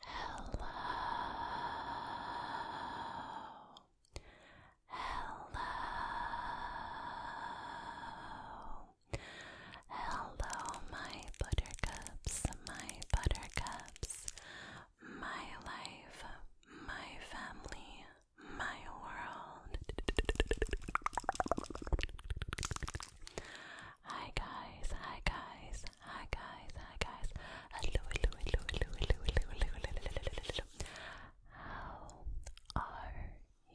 Hello. Hello. Hello, my buttercups, my buttercups, my life, my family, my world. Hi, guys, hi, guys, hi guys, hi guys. Hello, hello, hello, hello, hello, hello, hello, hello, How are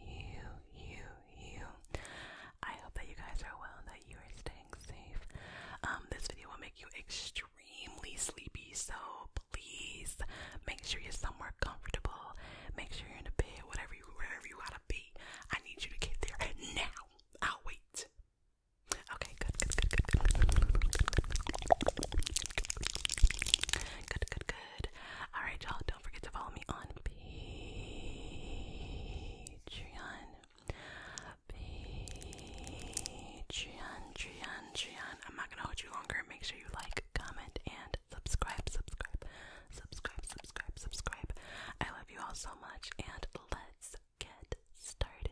you, you, you? I hope that you guys are well and that you are staying safe. Um, this video will make you extremely sleepy, so please make sure you're somewhere comfortable. Make sure you're in a bed, whatever wherever you gotta be. I need you to get there now. I'll wait. Okay, good, good, good, good, good, good, good, good, good, good, good. All right, y'all. Don't forget to follow me on Patreon. Patreon, Patreon, Patreon. I'm not gonna hold you longer. Make sure you like, comment, and subscribe, subscribe, subscribe, subscribe, subscribe. I love you all so much, and let's get started.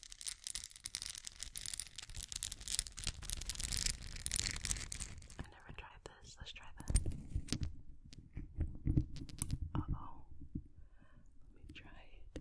I've never tried this. Let's try that. Uh oh. Let me try it.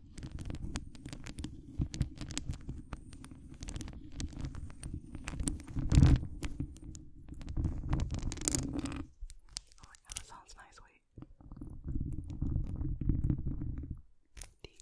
Oh my god, that sounds nice, wait. Deep.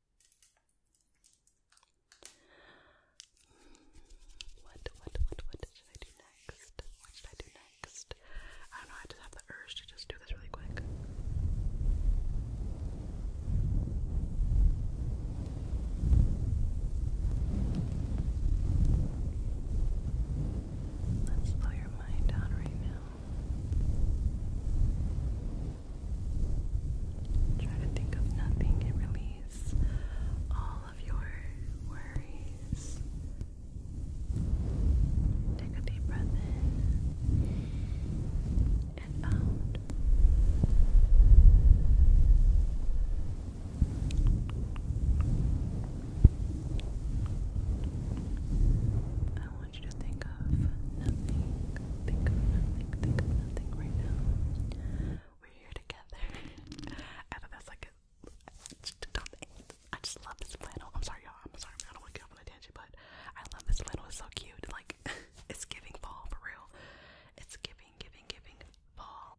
What, what, what, what should I do next? What should I do next? I don't know, I just have the urge to just do this really quick. Let's slow your mind down right now. Try to think of nothing release all of your worries. Take a deep breath in and out. I just love this flannel. I'm sorry, y'all. I'm sorry. I don't want to get up on a tangent, but I love this flannel. It's so cute. Like, it's giving fall for real. It's giving, giving, giving fall.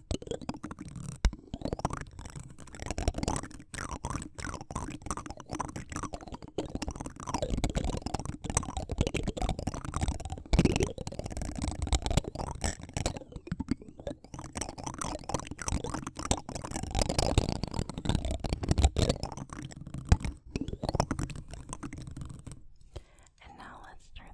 And now let's turn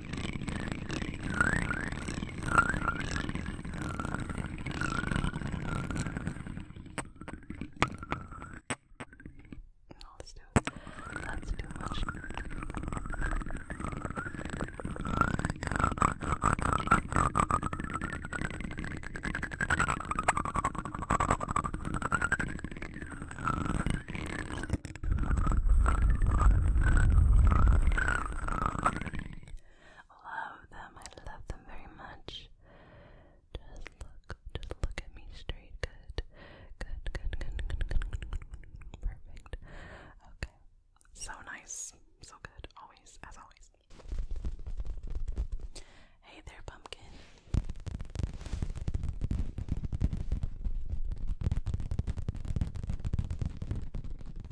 No, let's do it. That's too much love them. I love them very much. Just look, just look at me straight. Good, good, good, good, good, good, perfect. Okay, so nice, so good, always, as always. Hey there, pumpkin.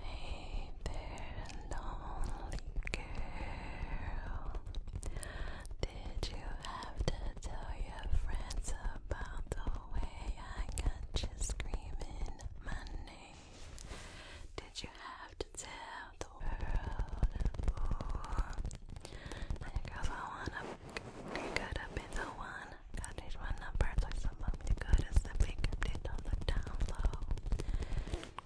Hey there, lonely girl. Did you have to tell your friends about the way I got you screaming my name? Did you have to tell the world? Because I wanna be good up in the one. Got it one number, so some of the good is the big update on the down low.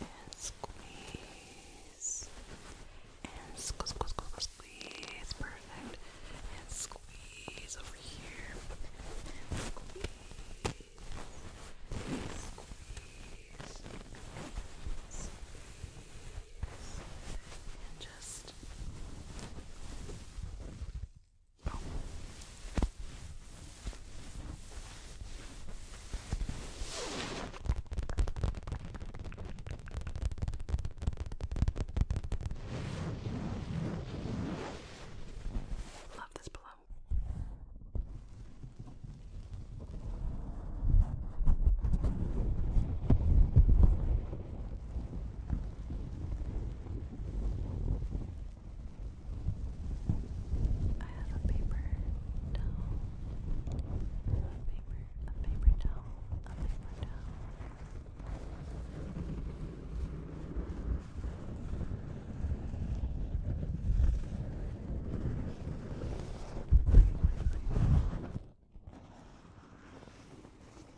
And squeeze. And squeeze, squeeze, Perfect. And squeeze over here. squeeze. squeeze. Squeeze. And just Love this pillow. I have a paper towel. A paper, a paper towel, a paper towel. Wait, wait, wait.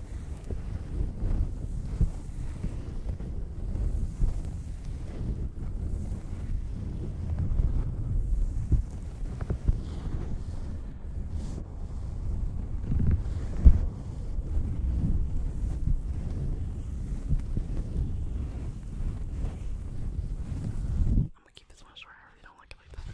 I'm gonna keep this one short. I really don't like it like that.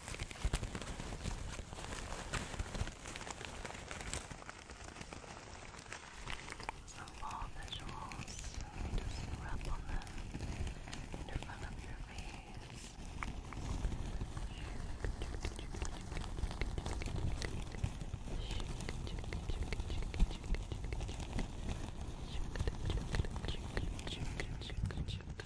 Some wall visuals, just rub on them in front of your face. Good.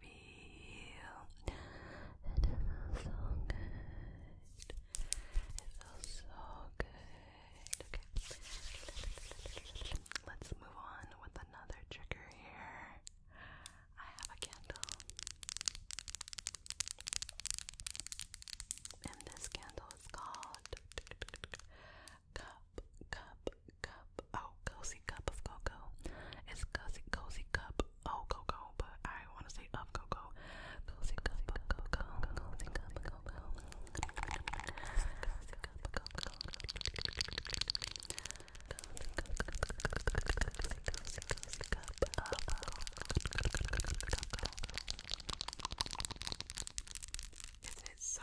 feel. It feels so good. It feels so good. Let's move on with another trigger here. I have a candle. And this candle is called cup, cup, cup. Oh, cozy cup of cocoa. It's cozy, cozy cup. Oh, cocoa, but I want to say of cocoa. Cozy cup of cocoa. Cozy cup of cocoa. Cozy cup of cocoa. Cozy cup of cocoa. Isn't it so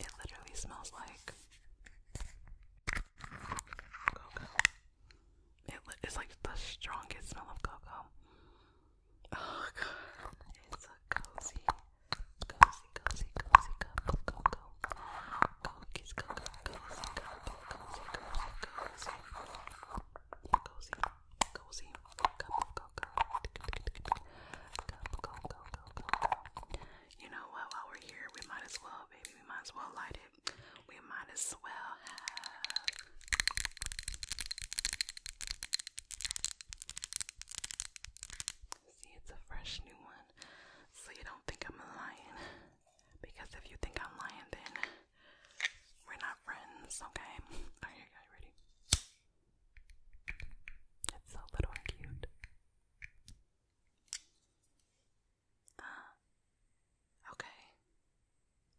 It literally smells like cocoa it's like the strongest smell of cocoa. Oh god, it's a cozy, cozy, cozy, cozy cup cocoa. Cookies, cocoa, cozy, cup, cozy, cozy, cozy, cozy, cozy, cup cocoa. You know what? While we're here, we might as well, baby, we might as well light it we might as well have. See, it's a fresh new one, so you don't think I'm lying. Because if you think I'm lying, then we're not friends, okay? Are you ready? It's so little and cute. Uh, okay.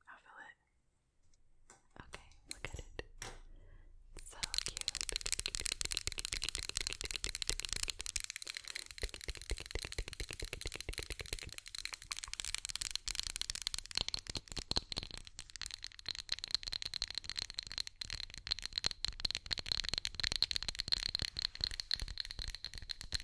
I feel it. Okay, look at it. It's Okay,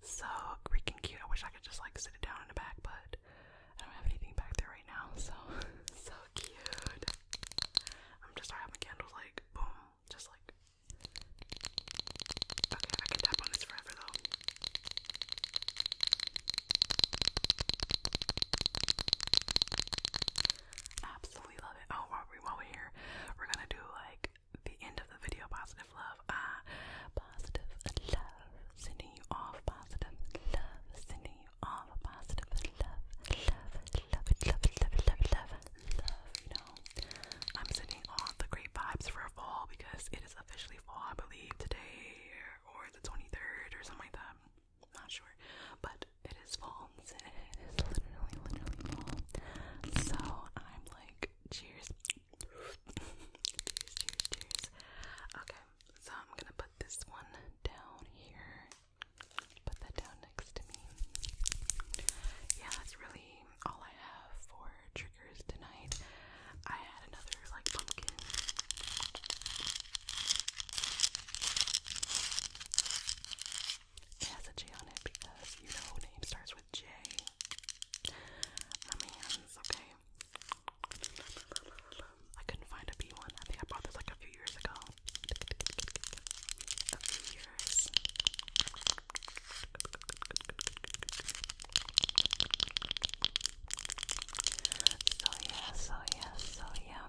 So freaking cute. I wish I could just like sit it down in the back, but I don't have anything back there right now. So so cute. I'm just start having candles like boom, just like. Okay, I can tap on this forever though. Absolutely love it. Oh, while we're, while we're here, we're gonna do like the end of the video. Positive love. Ah, positive love. Sending you off. Positive love. Sending you off. Positive love. Love, love, love, love, love, love, love. You know, I'm sending all the great vibes for fall because it is officially fall, I believe, today or the 23rd or something like that. I'm not sure, but it is fall pounds and it is literally, literally full. So I'm like, cheers. cheers, cheers, cheers. Okay, so I'm gonna put this one down here. Put that down next to me. Yeah, that's really all I have for triggers tonight. I had another like pumpkin. It has a J on it because you know name starts with J. man's, okay. I couldn't find a B one. I think I bought this like a few years ago. A few years. So yeah, so yeah, so yeah.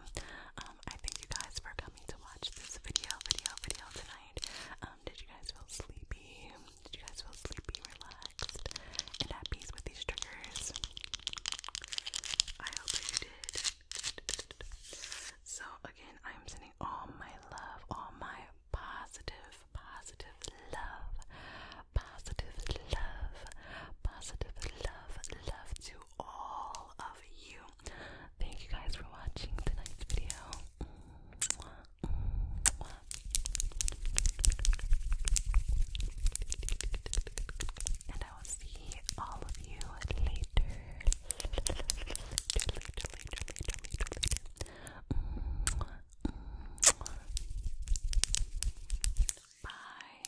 Um, I thank you guys for coming to watch this video, video, video tonight. Um, did you guys feel sleepy? Did you guys feel sleepy, relaxed, and at peace with these triggers? I hope you did. So again, I am sending all my love, all my positive, positive love, positive love, positive love, love to all of you thank you guys for watching tonight's video. And I will see all of you later. Bye.